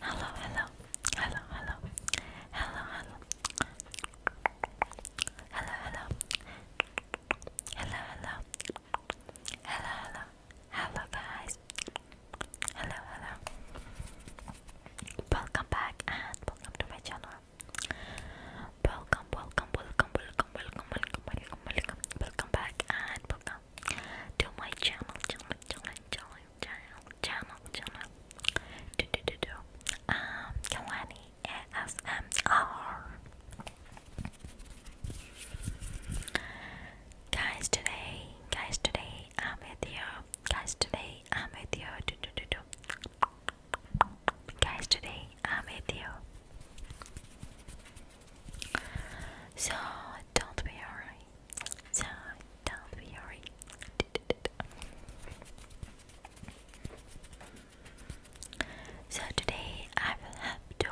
Hello, hello, hello, hello, hello, hello, hello, hello, hello, hello, hello, hello, hello, guys, hello, hello. Welcome back and welcome to my channel. Welcome, welcome, welcome, welcome, welcome, welcome, welcome, welcome, welcome back to my channel, channel, channel, channel, channel, channel, channel. Do do do do. Um, Kalani ASMR. Guys, today, guys, today I'm with you. Guys, today I'm with you. Do do do do guys today I'm with you so don't be worried so don't be worried so today I will help to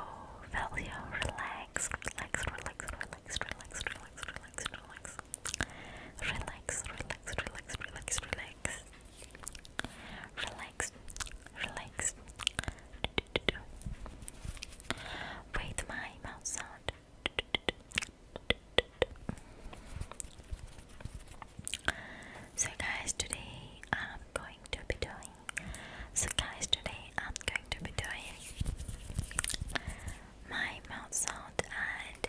feel you relax relax relax relax relax relax relax relax relax relax relax relax Relax, relax. With my mouth sound. So guys, today I'm going to be doing. So guys, today I'm going to be doing my mouth sound and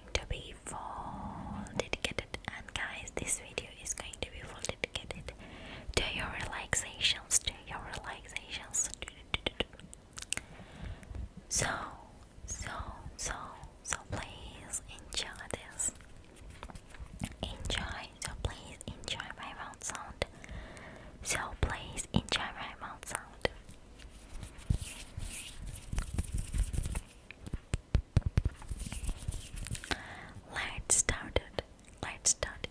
to be full dedicated and guys this video is going to be full dedicated to your relaxations to your relaxations so so so so please enjoy this enjoy so please enjoy my mouth sound so please enjoy my mouth sound Let's start it. Let's start it.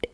Dip,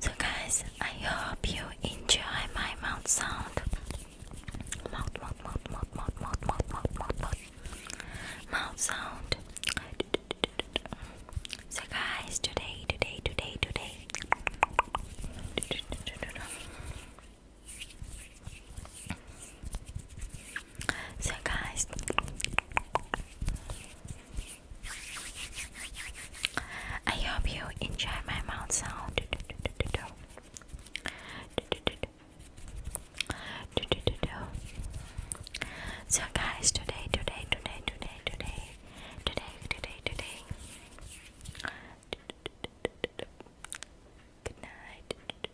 So, guys, I hope you enjoy my mouth sound. Mouth, mouth, mouth, mouth, mouth, mouth, mouth, mouth, mouth, mouth, mouth sound. So, guys, today, today, today, today. So, guys, I hope you enjoy my mouth sound. So, guys, today, today, today, today, today, today, today, today. Good night.